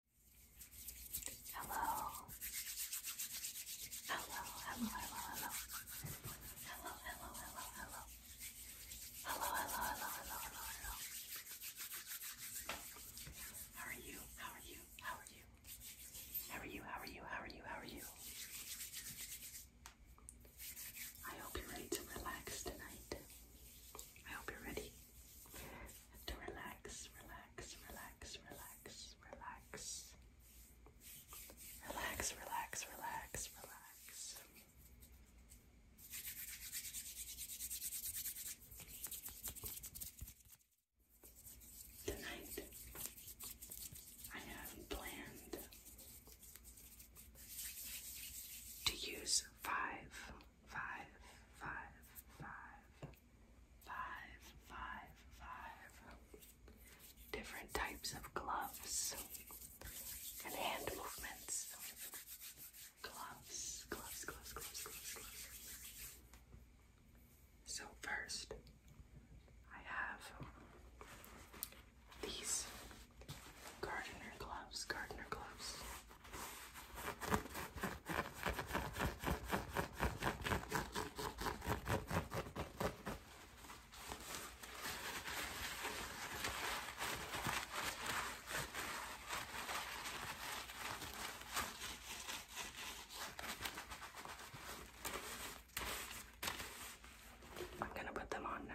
Hello. Hello, hello, hello, hello. Hello, hello, hello, hello. Hello, hello, hello, hello, hello, hello. How are you? How are you? How are you? How are you? How are you? How are you? How are you? I hope you're ready to relax tonight. I hope you're ready to relax, relax relax, relax, relax, relax. Relax, relax, relax, relax. Tonight, I have planned to use five, five, five, five five, five, five different types of gloves and hand movements. Gloves, gloves, gloves, gloves, gloves, gloves. So, first, I have these gardener gloves, gardener gloves. I'm going to put them on now.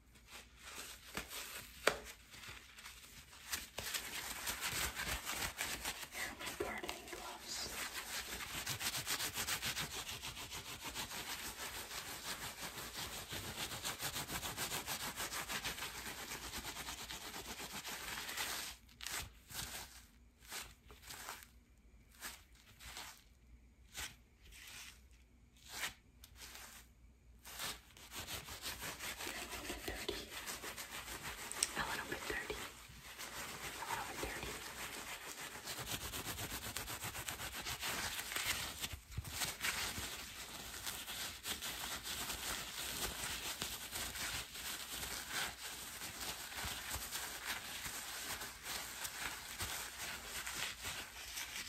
my gardening gloves. Dirty. A little bit dirty. A little bit dirty.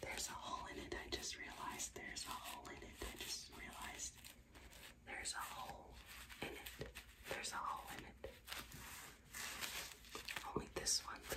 There's a hole in it. I just realized there's a hole in it. I just realized there's a hole in it. There's a hole in it. Only this one, though.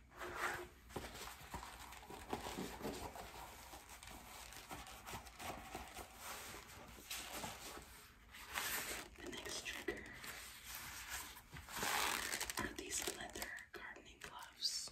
The next trigger are these leather gardening gloves.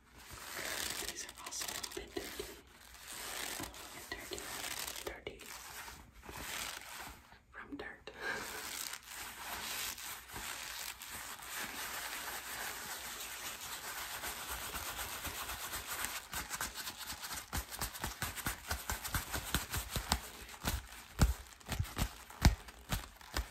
These are also a little bit dirty. A little bit dirty. Dirty. From dirt.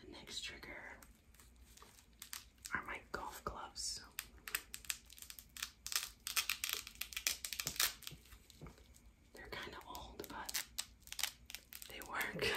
The next trigger are my golf gloves. They're kind of old, but they work.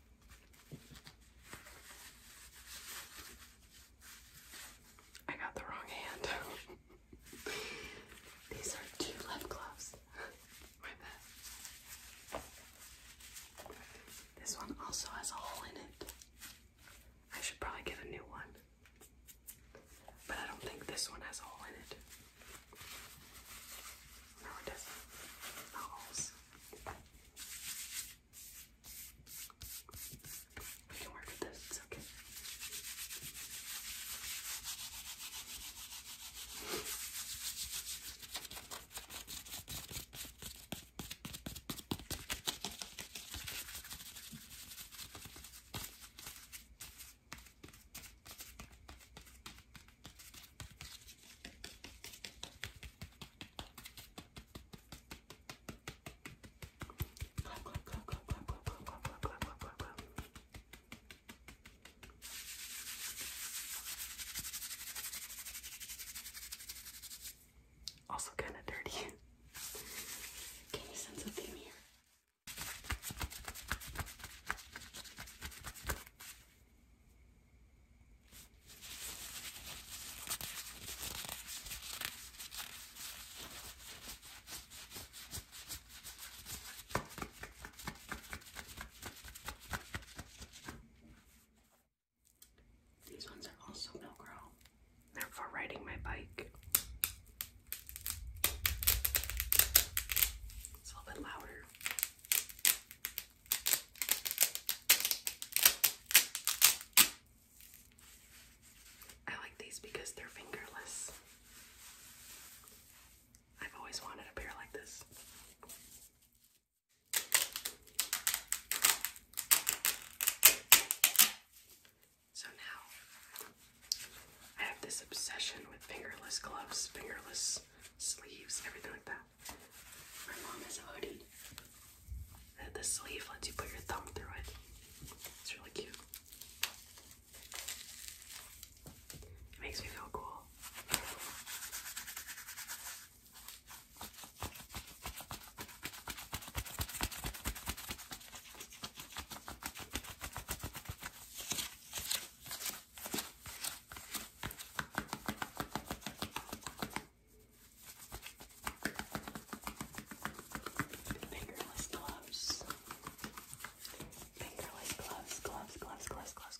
I got the wrong hand. These are two left gloves. This one also has a hole in it. I should probably get a new one. But I don't think this one has a hole in it. No, it doesn't. No holes. We can work with this, it's okay. Clap, Also kind of dirty. Can you sense a theme here? These ones are also Milgro. They're for riding my bike. It's a little bit louder. I like these because they're fingerless. I've always wanted a pair like this. So now I have this obsession with fingerless gloves, fingerless sleeves, everything like that. My mom has a hoodie. The, the sleeve lets you put your thumb through it. It's really cute. It makes me feel cool. Fingerless gloves. Fingerless gloves, gloves, gloves, gloves, gloves, gloves. gloves.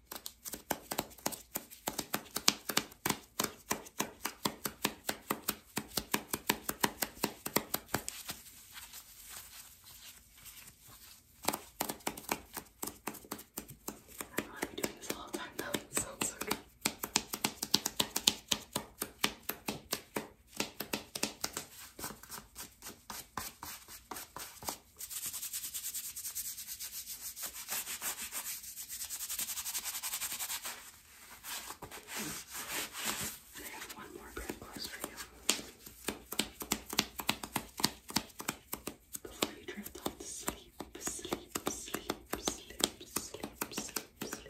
I don't know I'd be doing this all the time though. It sounds so good. I have one more bit close for you before you drift off to sleep, sleep, sleep, sleep, sleep, sleep, sleep.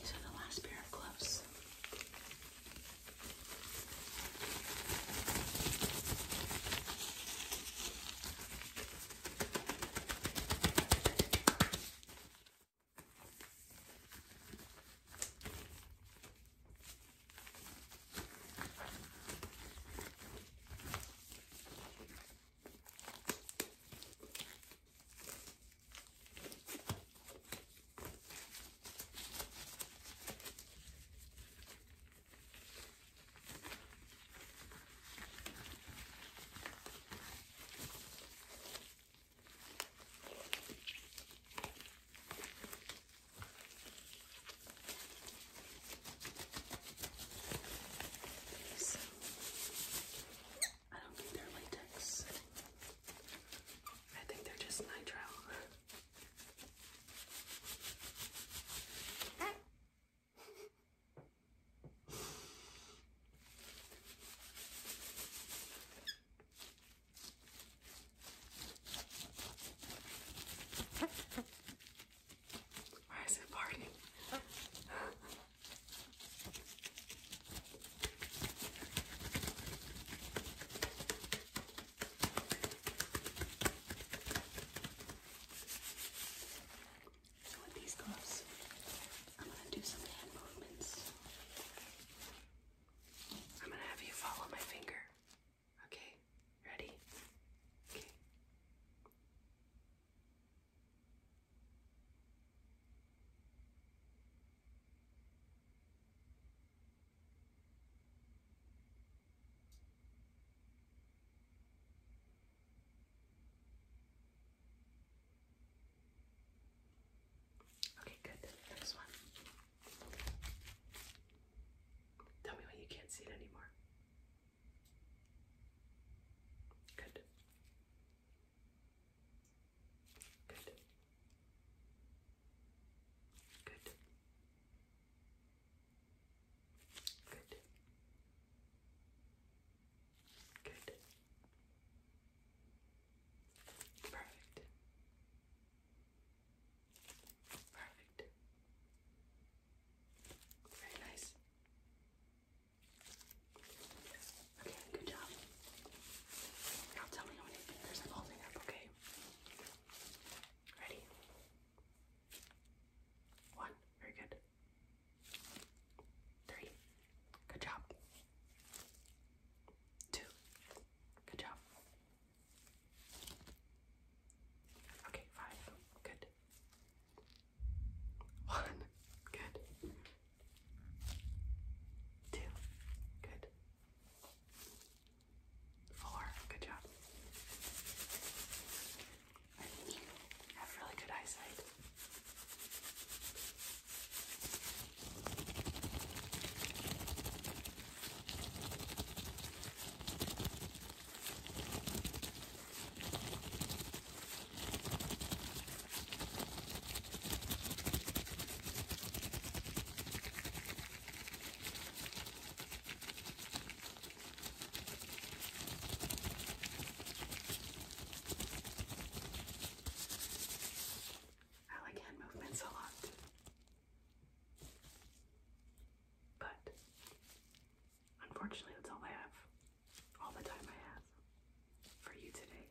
These are the last pair of gloves. So, I don't think latex. I think they're just nitrile. Why is it partying? So with these gloves, I'm gonna do some hand movements. I'm gonna have you follow my finger. Okay, ready? Okay. Okay, good. Next one. Tell me when you can't see it anymore. Good. Good. Good. Good. Good. Perfect. Perfect. Very nice. Okay, good job. Now tell me how many fingers I'm holding up, okay? Ready? One, very good. Three, good job. Two, good job. Okay, five, good. One, good. Two. Good. Four. Good job. you have really good eyesight. I like hand movements a lot, but unfortunately, that's all I have, all the time I have for you today.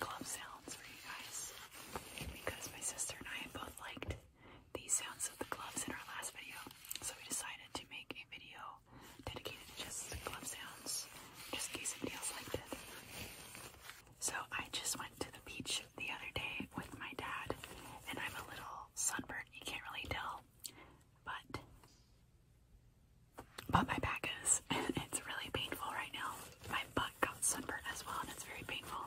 club sounds for you guys because my sister and I both liked the sounds of the gloves in our last video, so we decided to make a video dedicated to just club sounds, just in case somebody else liked it. So I just went to the beach the other day with my dad, and I'm a little sunburned. You can't really tell, but but my back is and it's really painful right now. My butt got sunburned as well, and it's very painful.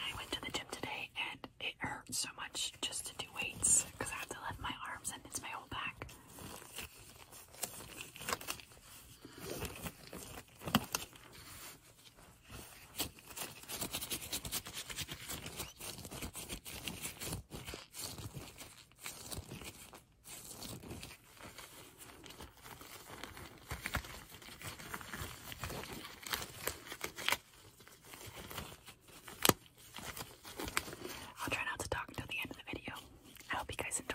I went to the gym today, and it hurts so much just to do weights because I have to lift my arms, and it's my whole back. I'll try not to talk until the end of the video. I hope you guys enjoy.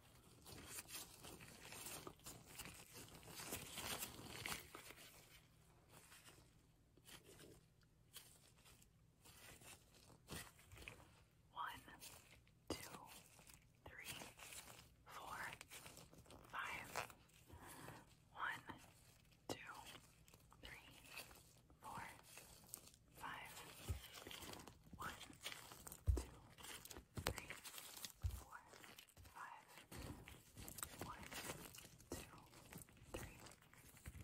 One, two, three, four, five. One, two, three, four, five. One, two, three, four, five. One, two, three,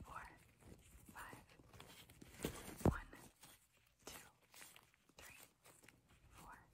four, five. One, two, three, four, five. One, two, three, four, five.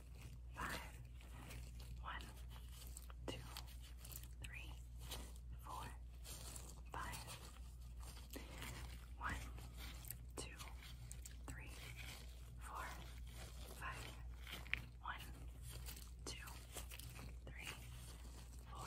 five, one, two, three, four, five, one, two, three, four, five, one, two, three, four, five.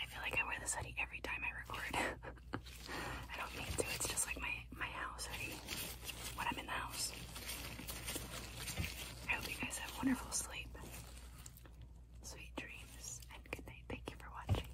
I feel like I wear this hoodie every time I record. I don't mean to, it's just like my, my house hoodie when I'm in the house. I hope you guys have wonderful sleep. Sweet dreams and good night. Thank you for watching.